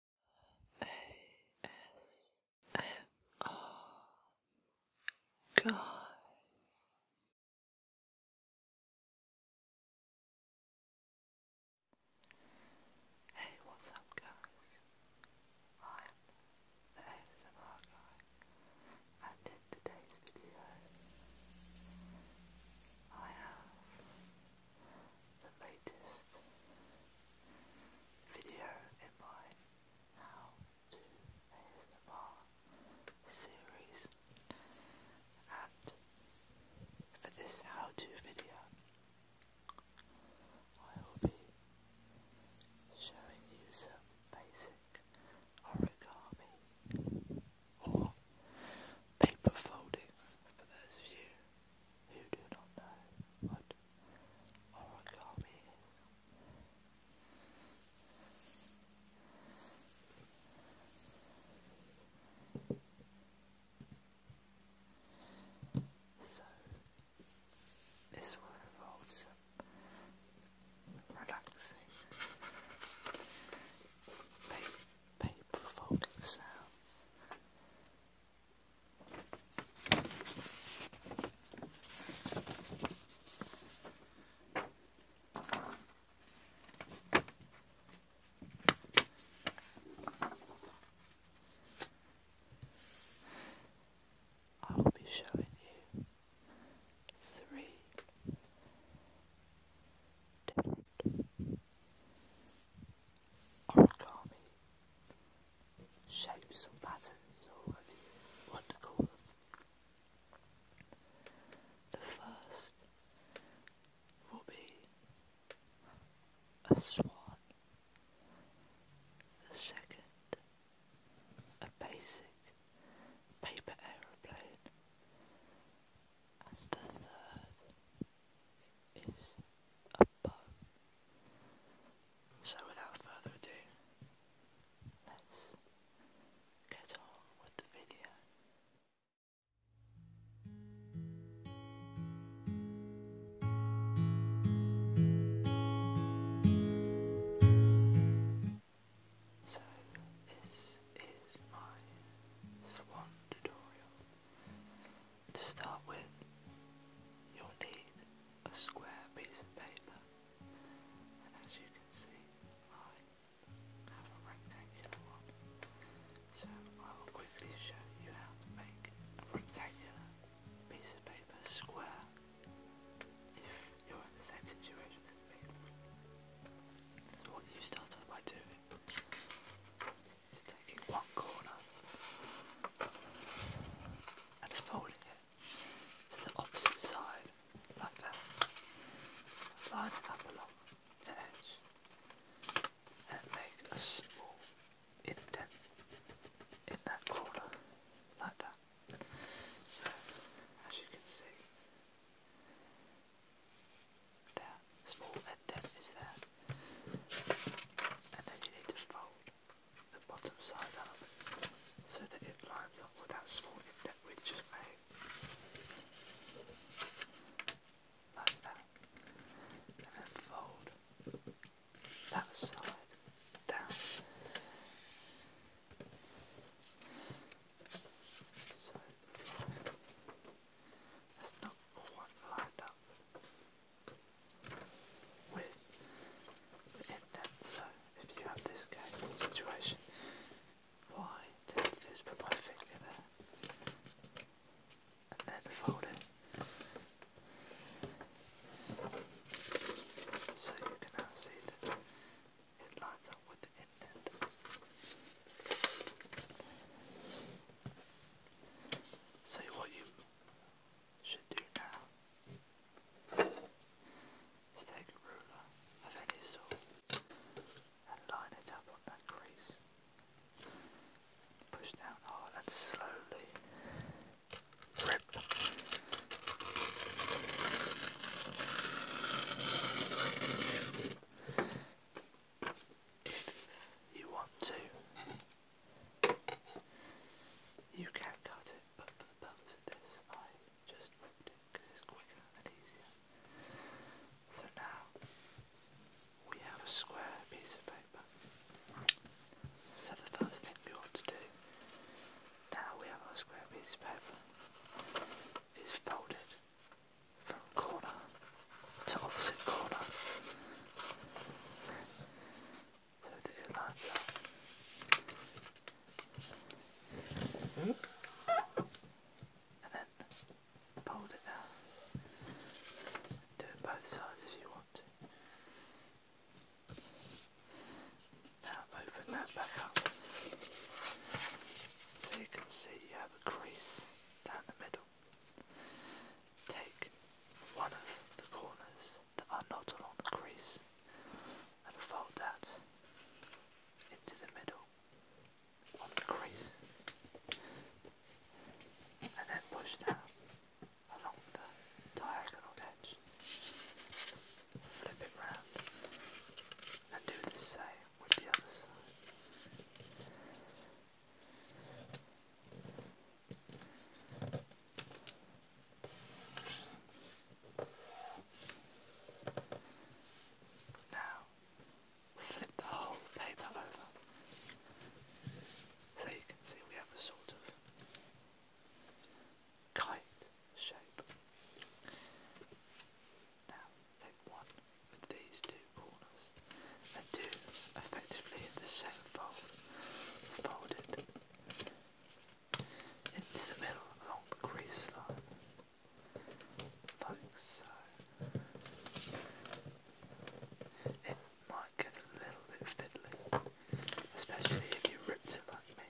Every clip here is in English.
ASMR guy. Hey, what's up, guys? I'm the ASMR guy, and in today's video, I have the latest video in my How to ASMR series. And for this how to video, I will be showing you some basic origami or paper folding for those of you who do not know what origami So, this will involve some relaxing paper folding sounds. I will be showing you three different origami. Shapes and patterns or whatever you want to call them. The first will be a swan. The second, a basic paper aeroplane. And the third is a so without further ado, let's get on with the video. So this is my swan tutorial. To start with, you'll need a square piece of paper, and as you can see, I have a rectangular one. So I will quickly show you how to make a rectangular piece of paper square if you're in the same situation as me. what you start off by doing taking one corner and folding it to the opposite side, like that. Line it up along the edge and make a small indent in that corner, like that. So, as you can see, there, small indent is there. And then you need to fold the bottom side up so that it lines up with that small indent we've just made. Like that. then fold that side down. So that's not quite lined up with the internet. So if you have this kind of situation, why to just put my finger there and then fold it so you can now see that it lines up with the indent say what you should do now take a ruler of any and line it up on that crease. Push down hard and slowly rip if you want to. You can cut it, but for the purpose of this, I just ripped it because it's quicker and easier. So now we have a square piece of paper. So the first thing we want to do, now we have our square piece of paper, is fold it from corner to opposite corner so that it lines up and then fold it down do it both sides if you want now open that back up so you can see you have a crease down the middle Take one of the corners that are not along the crease and fold that into the middle of the crease and then push that along the diagonal edge. Flip it round and do the same with the other side. Now flip the whole paper over so you can see we have a sort of kite shape. Now take one with these two corners and do effectively the same fold, fold into the middle along the crease line, like so. It might get a little bit fiddly, especially if you ripped it like me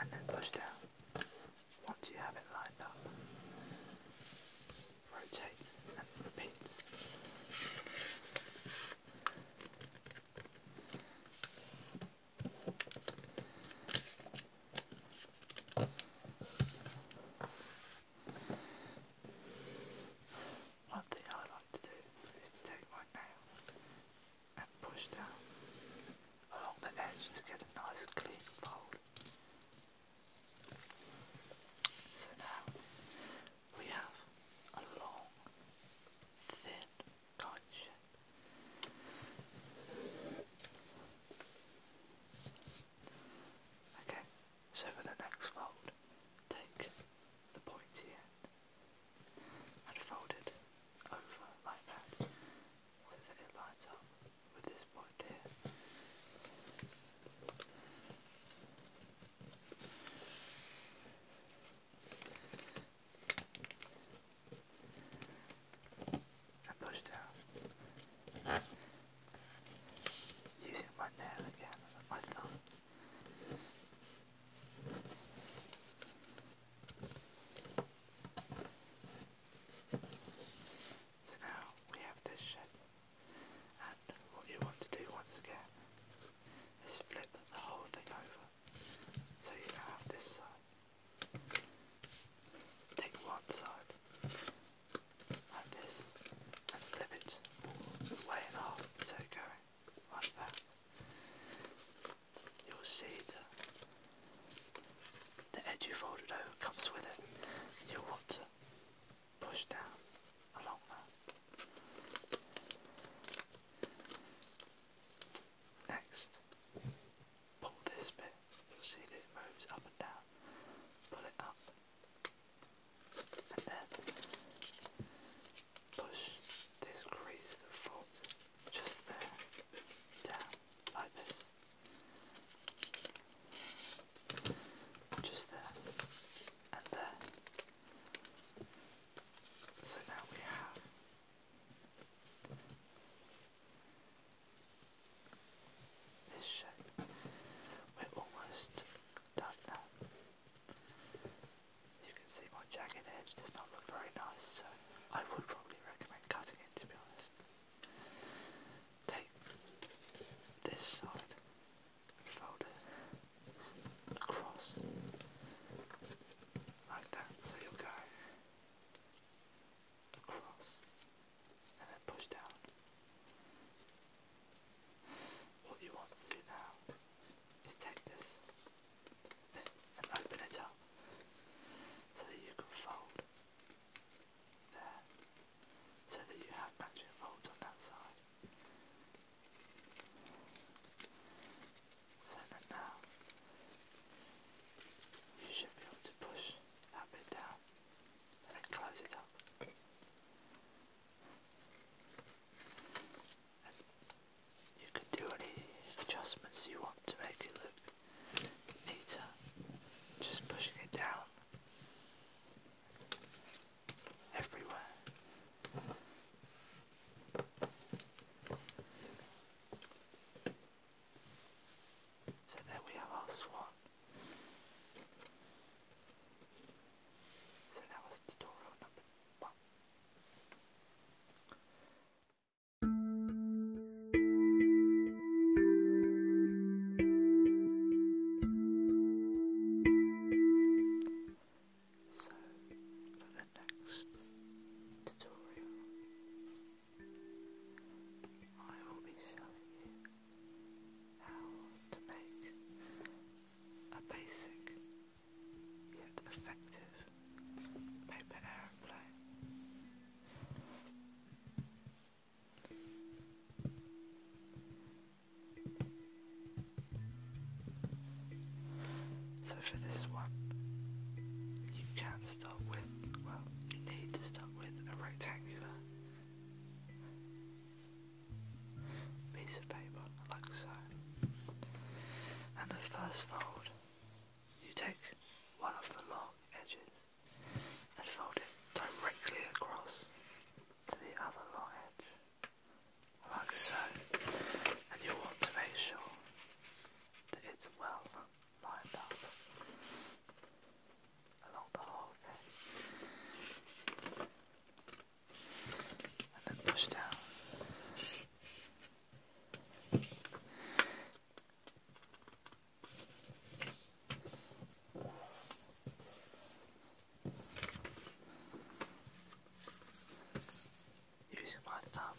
and then push down. Once you have it lined up, rotate and repeat. One thing I like to do is to take my nail and push down along the edge to get a nice clean fold. So now we have a long, thin kite shape. Okay, so for the next fold, take the pointy end and fold it over like that so that it lines up with this point here. And push down using my nail again and my thumb. So now we have this and what you want to do once again is flip the whole thing over. So you now have this side. Take one side like this and flip it all the way in half, so going you'll see that the edge you folded over comes with it. you want to push down along that. Next, pull this bit. You'll see that it moves up and down. Pull it up and then push this crease that just there down like this. Just there and there. So now we have this shape. We're almost done now. You can see my jagged edge does not look very nice, so I would probably recommend cutting it to be honest. Take this side fold it across like that, so you'll go across and then push down what you want to do now is take this and open it up so that you can fold there so that you have matching folds on that side. So that now you should be able to push that bit down and then close it up you can do any adjustments you want to make it look neater. Just pushing it down everywhere. So there we have our swan. So that was tutorial number one. So, for the next tutorial, I will be showing you how to make a basic yet effective paper aeroplane. So for this one, you can start with, well, you need to start with a rectangular piece of paper like so. And the first fold, you take one of the long edges and fold it directly across to the other long edge, like so. And you want to make sure that it's well lined up along the whole thing and then push down. Using my thumb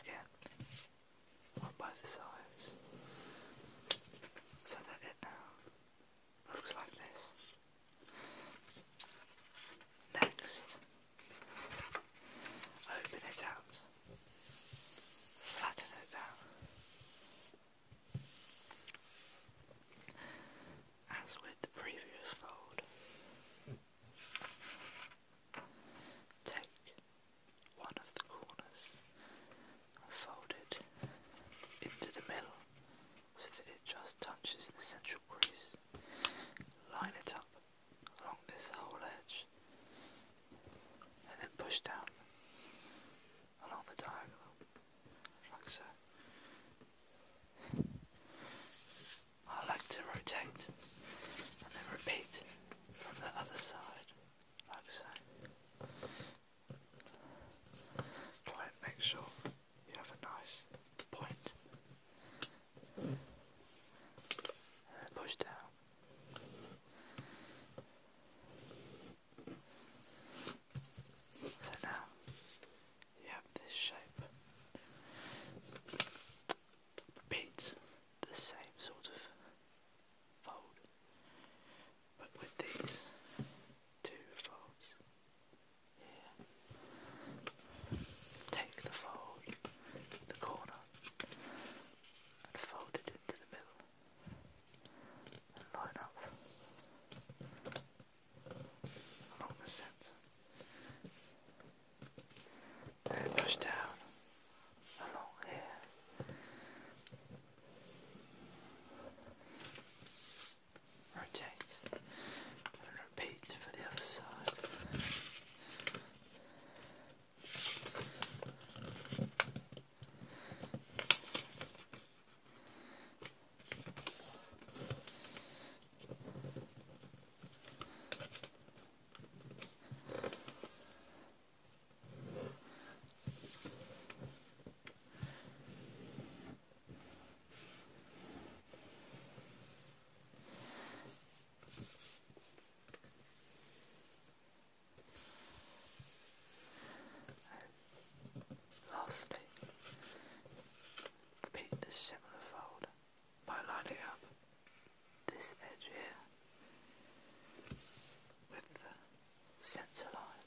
again on both sides so that it now looks like this. Next, open it out, flatten it down. As with the previous fold, take one of the corners fold it into the middle so that it just touches the central crease. Line it up along this whole edge and then push down along the diagonal, like so. I like to rotate and then repeat from the other side, like so. Try and make sure you have a nice point. Uh, push down. So now you have this shape. Repeat the same sort of fold. But with these two folds here, take the fold, the corner, and fold it into the middle line up along the centre and push down along here Rotate and repeat for the other side. Lastly, repeat the similar fold by lining up this edge here with the center line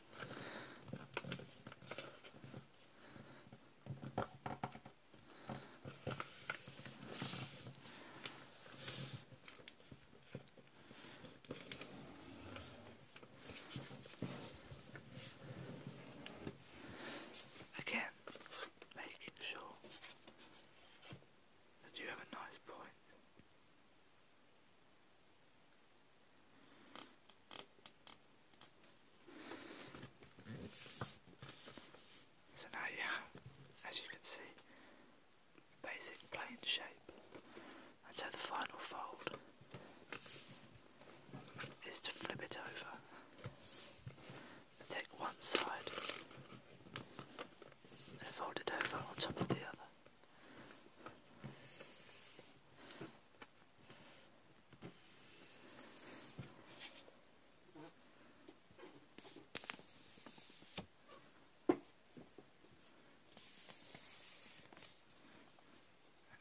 Again, making sure that you have a nice point so now you have, as you can see, basic plane shape. And so the final fold is to flip it over. Take one side and fold it over on top of the other.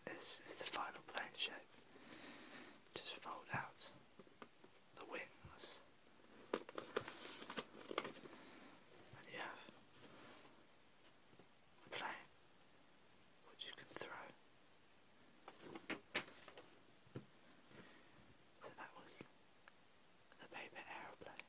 This is the final plane shape. Just fold out the wings, and you have which you can throw. So that was the paper aeroplane.